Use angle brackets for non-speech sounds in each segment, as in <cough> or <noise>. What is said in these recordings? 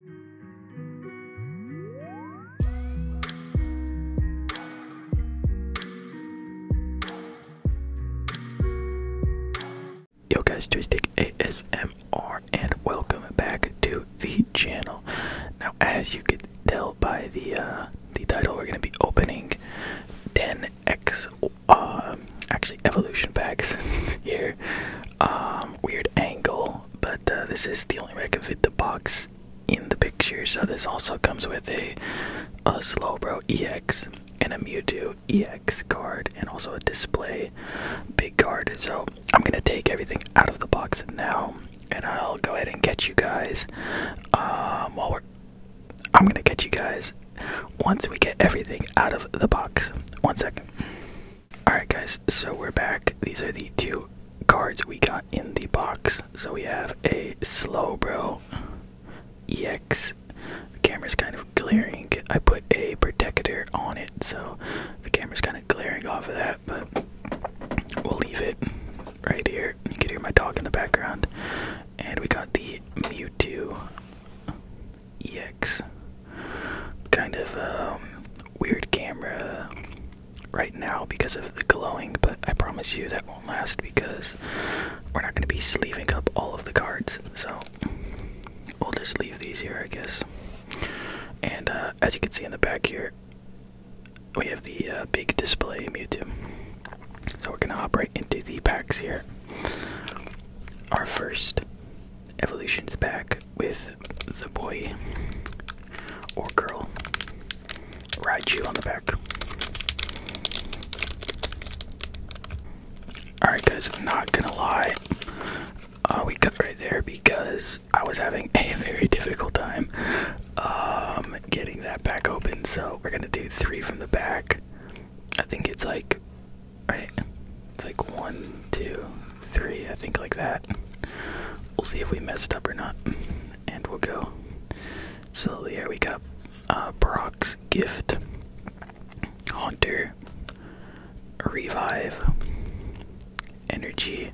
Yo guys, Joystick ASMR and welcome back to the channel. Now as you could tell by the uh, the title, we're gonna be opening 10x um, actually evolution packs <laughs> here. Um, weird angle, but uh, this is the only way I can fit the box in the picture. So this also comes with a, a Slowbro EX and a Mewtwo EX card and also a display big card. So I'm gonna take everything out of the box now and I'll go ahead and catch you guys um, while we're I'm gonna catch you guys once we get everything out of the box. One second. Alright, guys, so we're back. These are the two cards we got in the box. So we have a Slow Bro EX. The camera's kind of glaring. I put a protector on it, so the camera's kind of glaring off of that, but we'll leave it right here. You can hear my dog in the background. And we got the Mewtwo EX kind of um, weird camera right now because of the glowing, but I promise you that won't last because we're not going to be sleeving up all of the cards, so we'll just leave these here, I guess. And uh, as you can see in the back here, we have the uh, big display Mewtwo. So we're gonna hop right into the packs here. Our first evolutions back with the boy or girl ride you on the back. Alright, guys, I'm not gonna lie. Uh, we cut right there because I was having a very difficult time um, getting that back open. So we're gonna do three from the back. I think it's like right? It's like one, two, three, I think like that. We'll see if we messed up or not. And we'll go. So Here we got uh, Brock's gift, Hunter. Revive, Energy,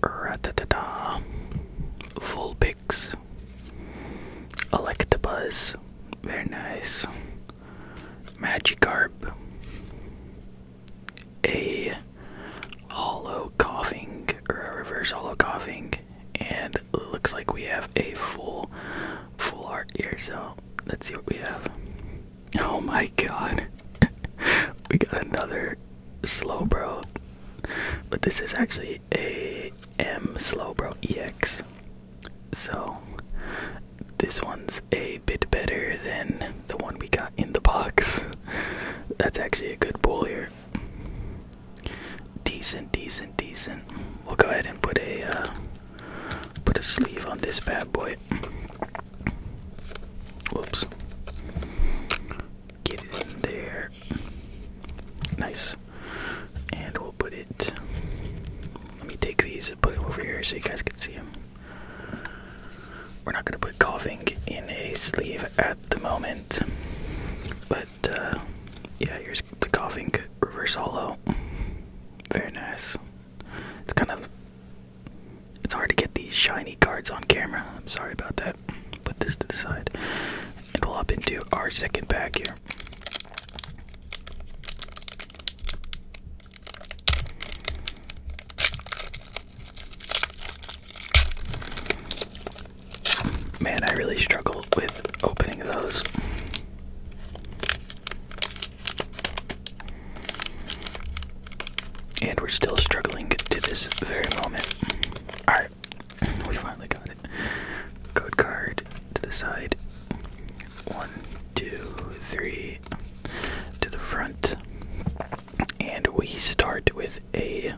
Ratatata, Vulpix, Electabuzz, very nice, Magikarp, a hollow coughing or a reverse hollow coughing, and looks like we have a full full art here. So let's see what we have. Oh my god, <laughs> we got another slow bro, but this is actually a M slow bro EX. So, this one's a bit better than the one we got in the box. <laughs> That's actually a good bowl here. Decent, decent, decent. We'll go ahead and put a uh, put a sleeve on this bad boy. Whoops. Get it in there. Nice. And we'll put it. Let me take these and put it over here so you guys can see them. We're not going to put coughing in a sleeve at the moment, but uh, yeah, here's the coughing reverse hollow. Very nice. It's kind of it's hard to get these shiny cards on camera. I'm sorry about that. Put this to the side, and we'll hop into our second pack here. Man, I really struggle with opening those. And we're still struggling to this very moment. Alright, we finally got it. Code card to the side. One, two, three to the front. And we start with a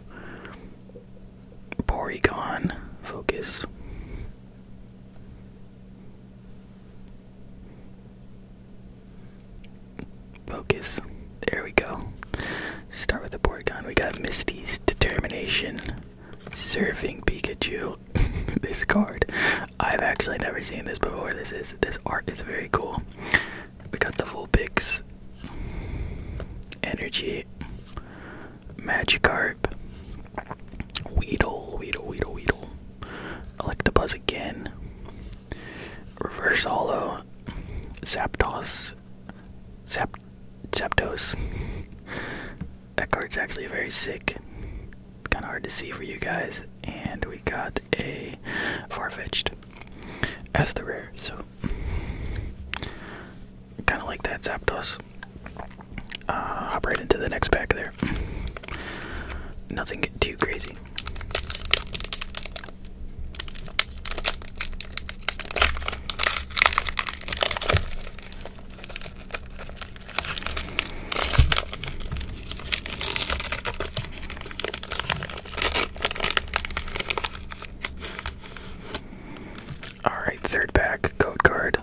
Porygon focus. Focus. There we go. Start with the Porygon. We got Misty's Determination, Surfing Pikachu, <laughs> this card. I've actually never seen this before. This is this art is very cool. We got the full pics. Energy. Magikarp. Weedle, Weedle, Weedle, Weedle. Electabuzz again. Reverse Hollow. Zapdos. Zap Zapdos. That card's actually very sick. Kind of hard to see for you guys. And we got a Farfetched as the rare, so kind of like that Zapdos. Uh, hop right into the next pack there. Nothing too crazy. All right, third back code card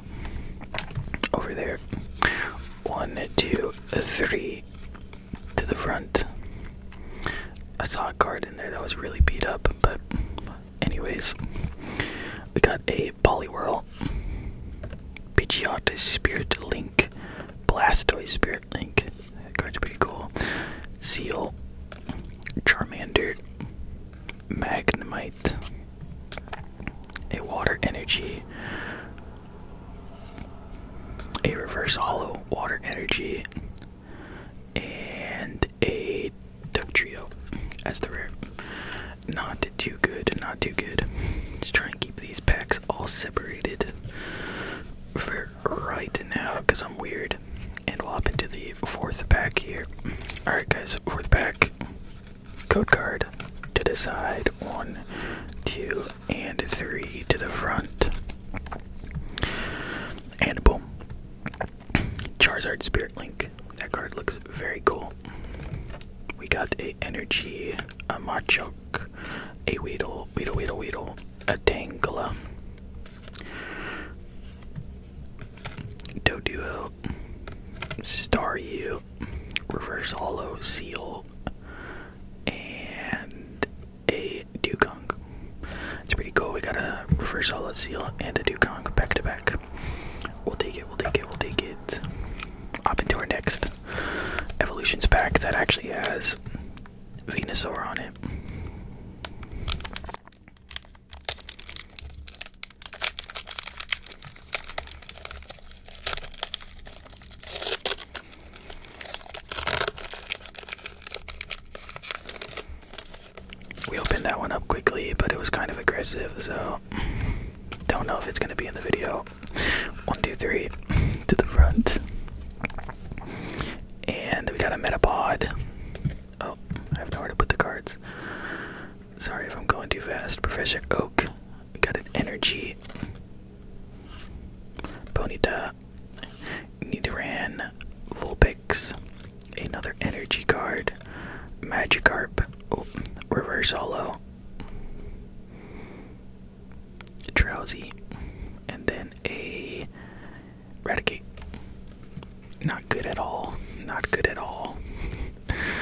over there. One, two, three to the front. I saw a card in there that was really beat up, but anyways, we got a whirl out. Spirit Link. Blastoise Spirit Link. That card's pretty cool. Seal. Charmander. Magnemite. A Water Energy. A Reverse Hollow Water Energy. And a Duck Trio as the rare. Not too good, not too good. Just try and keep these packs all separated for right now because I'm weird. And we'll hop into the fourth pack here. Alright, guys, fourth pack. Code card to the side. One, two, and three to the front. And boom. Charizard Spirit Link. That card looks very cool. We got a energy, a Machoke, a Weedle, Weedle, Weedle, Weedle, a Tangela, Doduo, Staryu, Reverse Hollow Seal, and a Dugong. It's pretty cool. We got a Reverse Hollow Seal and a Dugong back to back. We'll take it, we'll take it, we'll take it kids. Up into our next evolutions pack that actually has Venusaur on it. We opened that one up quickly, but it was kind of aggressive, so don't know if it's gonna be in the video. One, two, three, to the front. And we got a Metapod. Oh, I have nowhere to put the cards. Sorry if I'm going too fast. Professor Oak. got an Energy. Bonita. Nidoran. Vulpix. Another Energy card. Magikarp. Oh, Reverse Holo. Drowsy. And then a Eradicate. Not good at all. Not good at all.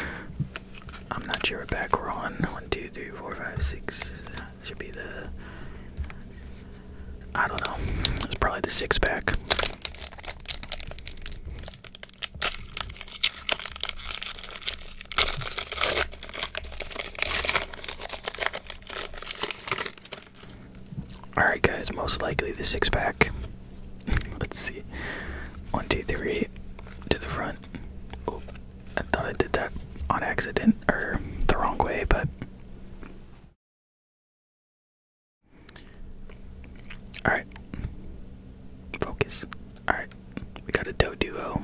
<laughs> I'm not sure what back we on. 1, 2, 3, 4, 5, 6. Should be the. I don't know. It's probably the six pack. Alright, guys, most likely the six pack. <laughs> Let's see. One, two, three, to the front. Oh, I thought I did that on accident or the wrong way, but. Alright. Focus. Alright. We got a Doe Duo.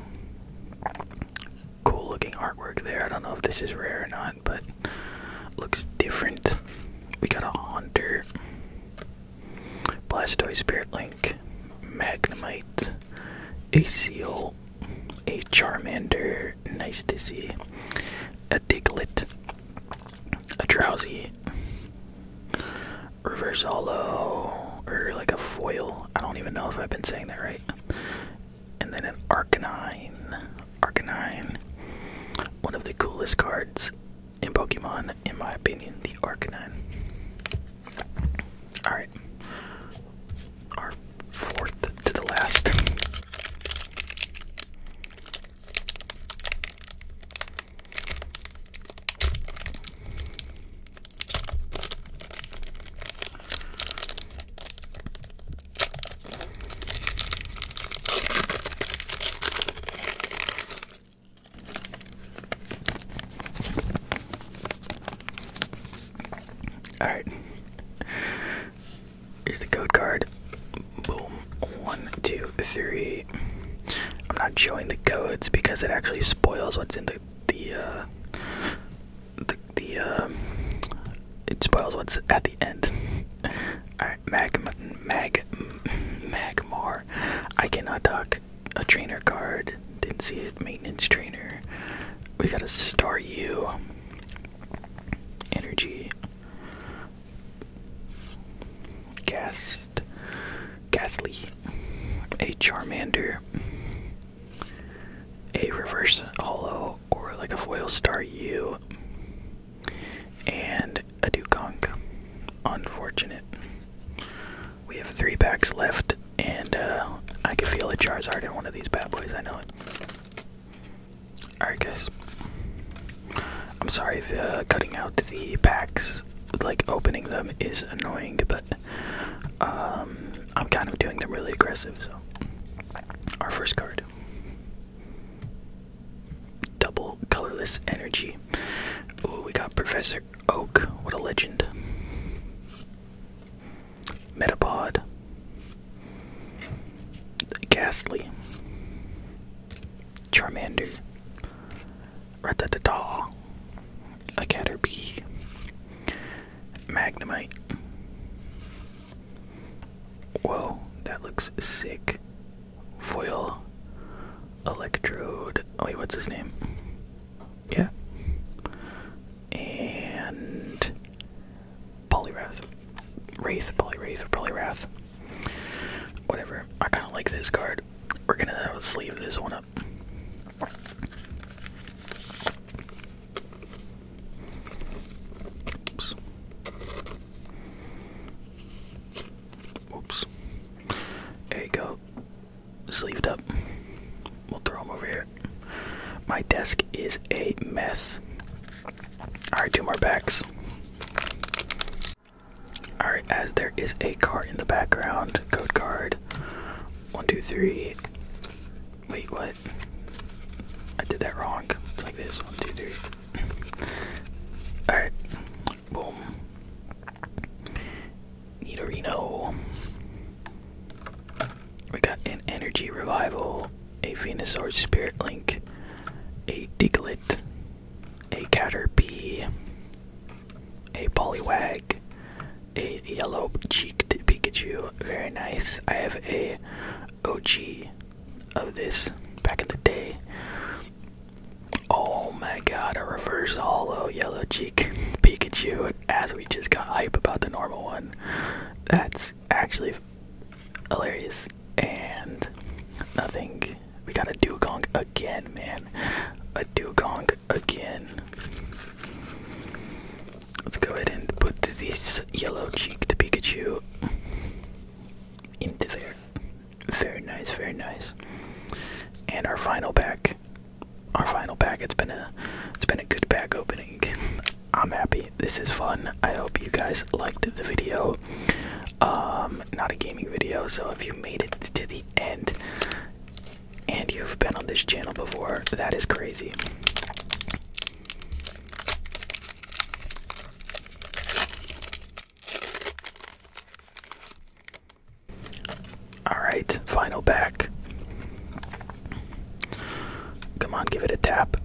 Cool looking artwork there. I don't know if this is rare or not, but looks different. We got a Haunter. Blastoise Spirit Link. Magnemite. A Seal. A Charmander. Nice to see. A Diglett a drowsy reverse Reversalo or like a foil. I don't even know if I've been saying that right. And then an Arcanine. Arcanine. One of the coolest cards in Pokemon, in my opinion, the Arcanine. Alright. Our fourth to the last. All right. Here's the code card. Boom. One, two, three. I'm not showing the codes because it actually spoils what's in the the uh, the, the um, it spoils what's at the end. All right, mag mag magmar. I cannot talk. A trainer card. Didn't see it. Maintenance trainer. We got a star U. Energy. Gas. Gast, Ghastly, a Charmander, a reverse Holo, or like a foil star U, and a Dugong. Unfortunate. We have three packs left, and uh, I can feel a Charizard in one of these bad boys. I know it. Alright, guys. I'm sorry for uh, cutting out the packs like opening them is annoying, but um, I'm kind of doing them really aggressive. So, our first card double colorless energy. Oh, we got Professor Oak. What a legend! Metapod. Ghastly. Charmander, Rattata, a Caterpie, Magnemite. Whoa, that looks sick. Foil, Electrode. Oh, wait, what's his name? Yeah. And Poliwrath. Wraith, Poliwraith, or Poliwrath. Whatever. I kind of like this card. We're gonna sleeve this one up. Oops. Oops. There you go. Sleeved up. We'll throw them over here. My desk is a mess. Alright, two more backs. Alright, as there is a car in the background, code card. One, two, three. Wait, what? I did that wrong. It's like this. One, two, three. <clears throat> Alright. Boom. Nidorino. We got an energy revival, a Venusaur spirit link, a Diglett, a Caterpie, a pollywag, a yellow cheeked Pikachu. Very nice. I have a OG of this back in the day. Oh my god, a reverse hollow yellow cheek Pikachu as we just got hype about the normal one. That's actually hilarious and nothing we got a dugong again, man. A dugong again. Let's go ahead and put this yellow cheeked Pikachu into there. Very nice, very nice. And our final pack. Our final pack. It's been a it's been a good pack opening. <laughs> I'm happy. This is fun. I hope you guys liked the video. Um, not a gaming video, so if you made it to the end and you've been on this channel before, that is crazy. Alright, final back. Come on, give it a tap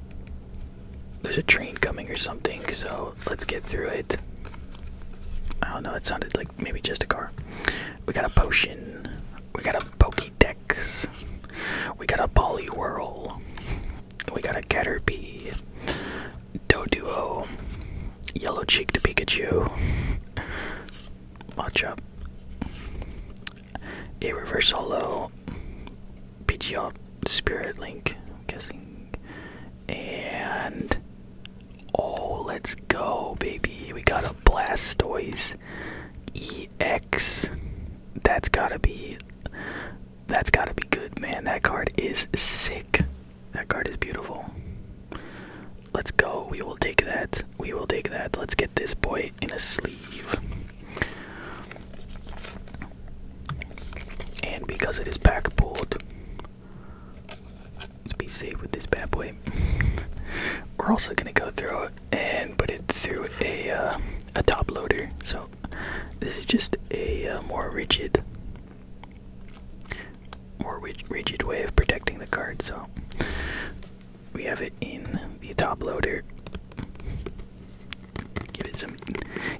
there's a train coming or something, so let's get through it. I don't know, it sounded like maybe just a car. We got a potion. We got a Pokédex. We got a Poliwhirl. We got a Caterpie. Doduo. Yellow cheeked Pikachu. Machop. A reverse holo. Pidgeot Spirit Link, I'm guessing. And oh, let's go, baby. We got a Blastoise EX. That's gotta be that's gotta be good, man. That card is sick. That card is beautiful. Let's go. We will take that. We will take that. Let's get this boy in a sleeve. And because it is pack pulled, let's be safe with this bad boy. <laughs> We're also gonna go through and put it through a uh, a top loader. So this is just a uh, more rigid, more rigid way of protecting the card. So we have it in the top loader. Give it some,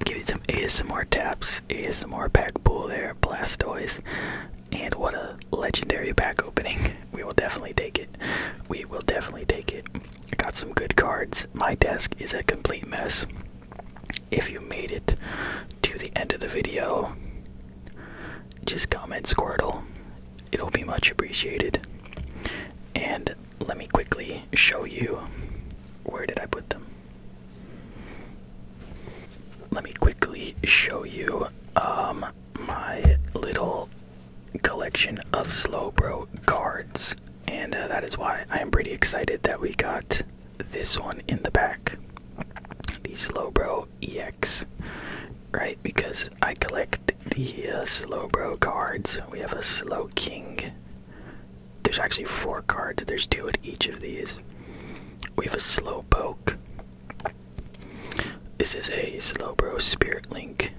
give it some ASMR taps, ASMR pack pool there, Blastoise, and what a legendary pack opening. We will definitely take it. We will definitely take it. got some good cards. My desk is a complete mess. If you made it to the end of the video, just comment Squirtle. It'll be much appreciated. And let me quickly show you where did I put them. Let me quickly show you um, my little collection of Slowbro cards, and uh, that is why I am pretty excited that we got this one in the back, the Slowbro EX, right? Because I collect the uh, Slowbro cards. We have a Slow King, there's actually four cards. There's two at each of these. We have a slow Slowpoke. This is a slow bro Spirit Link.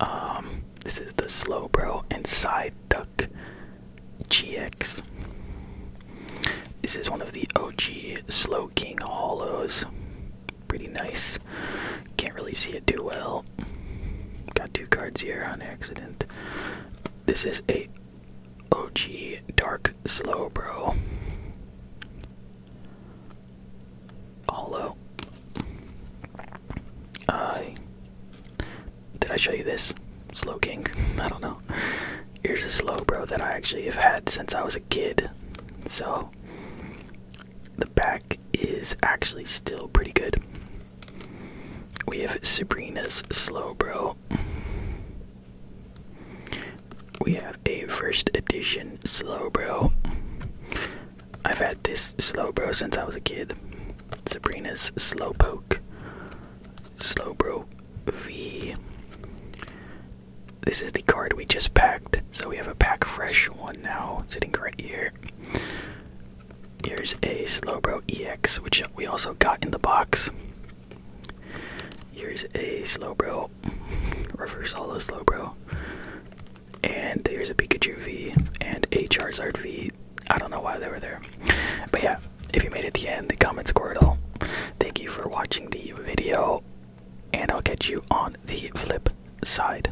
Um, this is the slow bro inside Duck GX. This is one of the OG Slow King Hollows. Pretty nice. Can't really see it too well got two cards here on accident. This is a OG Dark Slow Bro. Hollow. Uh, did I show you this? Slow King? <laughs> I don't know. Here's a Slow Bro that I actually have had since I was a kid. So, the back is actually still pretty good. We have Sabrina's Slow Bro. We have a first edition Slow Bro. I've had this Slow Bro since I was a kid. Sabrina's slow poke. Slow Bro V. This is the card we just packed, so we have a pack fresh one now sitting right here. Here's a Slowbro EX, which we also got in the box. Here's a Slowbro, reverse holo Slowbro. And here's a Pikachu V and a Charizard V. I don't know why they were there. But yeah, if you made it to the end, the comments comment all. Thank you for watching the video, and I'll catch you on the flip side.